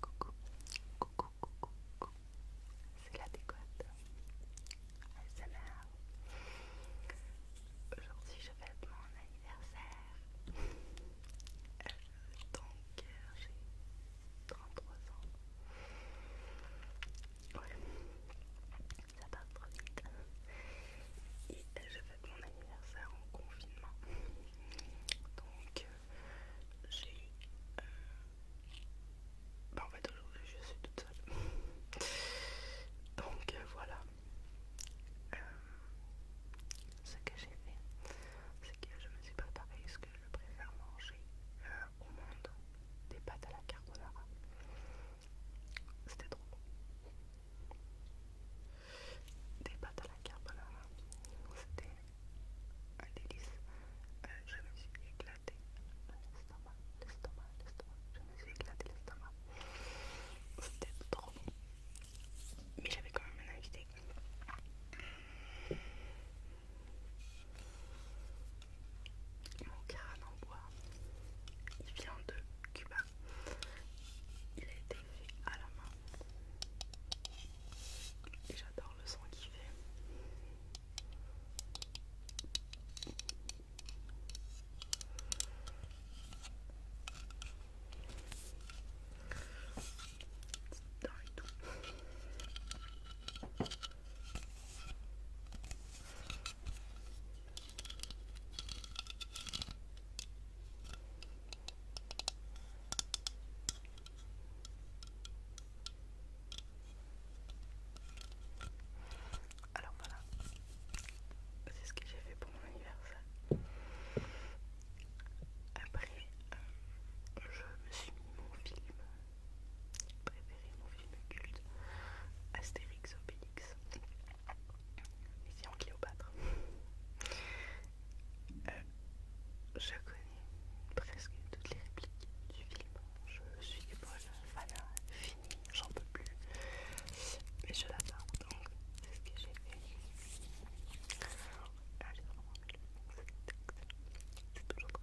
Coucou, coucou, coucou, coucou. C'est la décote. Aujourd'hui, je fête mon anniversaire. Euh, donc, j'ai 33 ans ça part trop vite. Et je fête mon anniversaire en confinement. Donc euh, j'ai euh, bah, en fait aujourd'hui je suis toute seule. Donc euh, voilà. ce que j'ai fait, c'est que je me suis préparé ce que je préfère manger au monde, des pâtes à la carbonara. C'était trop bon. Des pâtes à la là c'était un délice. Euh, je me suis éclaté l'estomac, l'estomac, l'estomac. Je me suis éclatée l'estomac. C'était trop bon. Mais j'avais quand même un invité. Mon carré en bois, il vient de Cuba. Il a été fait à la main. Et j'adore le son qu'il fait. Alors voilà, c'est ce que j'ai fait pour mon anniversaire. Après, euh, je me suis mis mon film préféré mon film culte Astérix Obélix en Cléopâtre euh, je connais presque toutes les répliques du film je suis une fan fini j'en peux plus mais je la l'adore donc c'est ce que j'ai fait ah, c'est toujours trop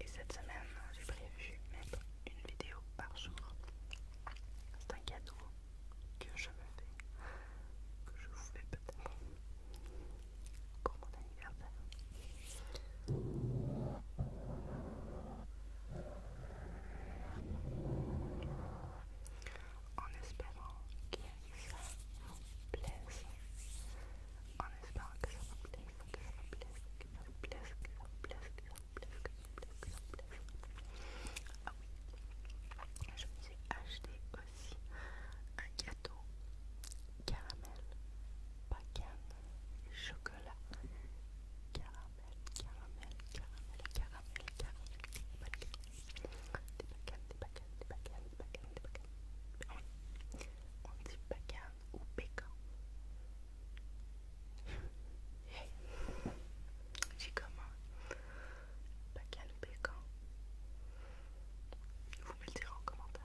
Et cette semaine, j'ai prévu mettre une vidéo par jour. C'est un cadeau que je me fais, que je vous fais peut-être pour mon anniversaire en espérant que ça vous plaise, en espérant que ça vous plaise, que ça plaise, que ça plaise, que ça plaise, que ça plaise, que ça plaise, Ah oui, je me suis acheté aussi un gâteau caramel bacane, chocolat, caramel, caramel, caramel, caramel, caramel, des des des des des On dit bacane ou pécan. Hey. comment ou Vous me le en commentaire.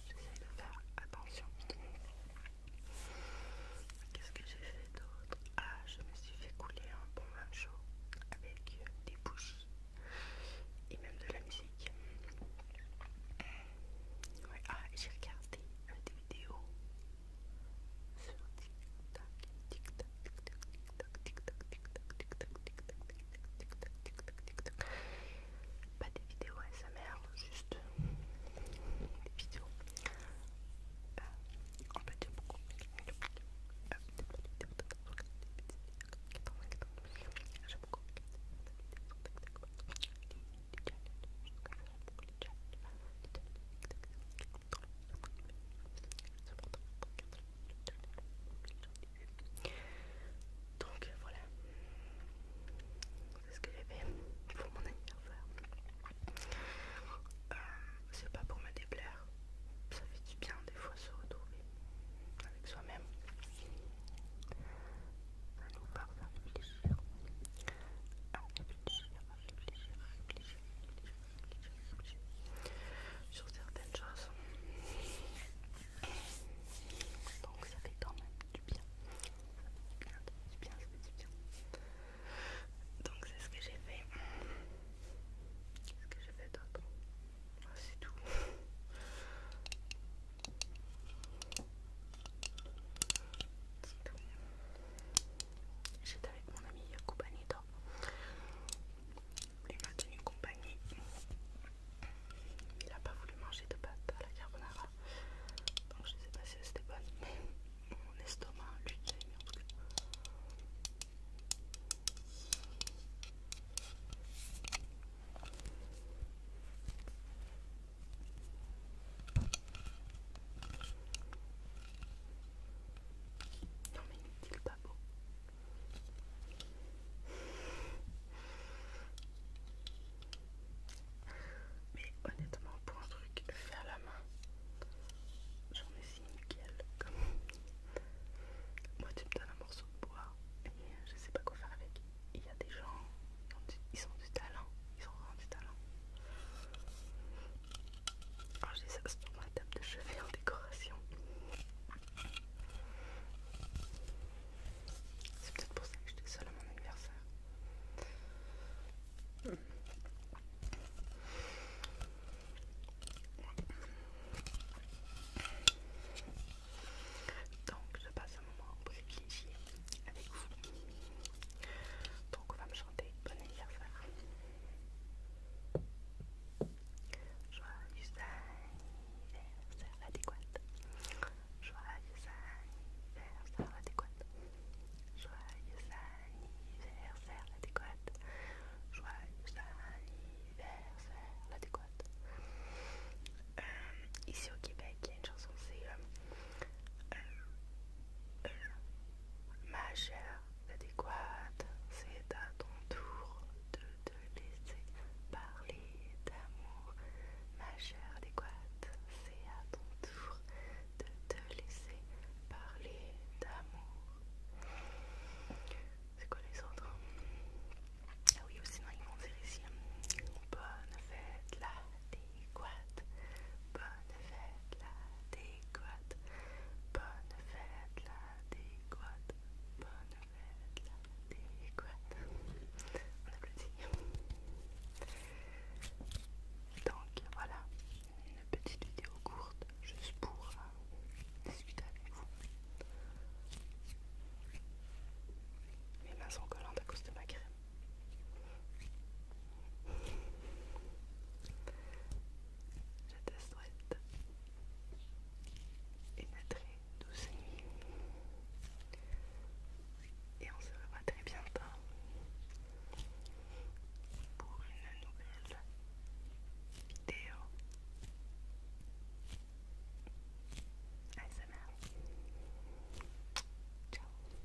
J'essaie de faire attention. Qu'est-ce que j'ai fait d'autre Ah, je me suis fait couler un bon bain chaud avec euh, des bouches et même de la musique. ah, j'ai regardé euh, des vidéos sur TikTok, TikTok, TikTok, pas des vidéos ASMR, juste des vidéos. Euh, on peut dire beaucoup. Donc voilà, c'est ce que j'ai fait pour mon anniversaire. Euh, c'est pas pour me déplaire, ça fait du bien des fois se retrouver avec soi-même. Ça nous part à réfléchir, à réfléchir, à réfléchir, réfléchir, réfléchir sur certaines choses. Donc ça fait quand même du bien. Ça fait du bien, ça fait du bien. Donc c'est ce que j'ai fait. ce que j'ai fait d'autre ah, C'est tout. J'étais avec mon ami Yakubanito il m'a tenu compagnie. Il n'a pas voulu manger de pâte à la carbonara. Donc je ne sais pas si c'était bonne, mais mon estomac, lui, a aimé en tout Non mais pas. Mais honnêtement, pour un truc fait à la main, j'en ai si nickel. Comme... Moi, tu me donnes un morceau de bois et je sais pas quoi faire avec. Il y a des gens, ils ont du talent, ils ont vraiment du talent. Alors oh, j'ai ça sur ma table de chevet en décoration. C'est peut-être pour ça que j'étais seule à mon anniversaire. Donc je passe un moment privilégié avec vous. Donc on va me chanter bon anniversaire. Joyeux anniversaire adéquate. Joyeux anniversaire adéquate. Joyeux anniversaire adéquate. Joyeux anniversaire adéquate. Euh, ici au Québec, il y a une chanson, c'est euh, euh, majeur adéquate, c'est à ton tour de te laisser parler d'amour. Ma chère adéquate, c'est à ton tour de te laisser parler d'amour. C'est quoi les autres hein? Ah oui, sinon ils vont dire ici. Hein. Bonne fête la bonne fête la déguate, bonne fête la déguate, bonne fête la déguate. On applaudit. Donc voilà, une petite vidéo courte, juste pour euh, discuter avec vous. Mes mains sont collantes à cause de ma crème. Je te souhaite une très douce nuit et on se revoit très bientôt pour une nouvelle vidéo ASMR. Ciao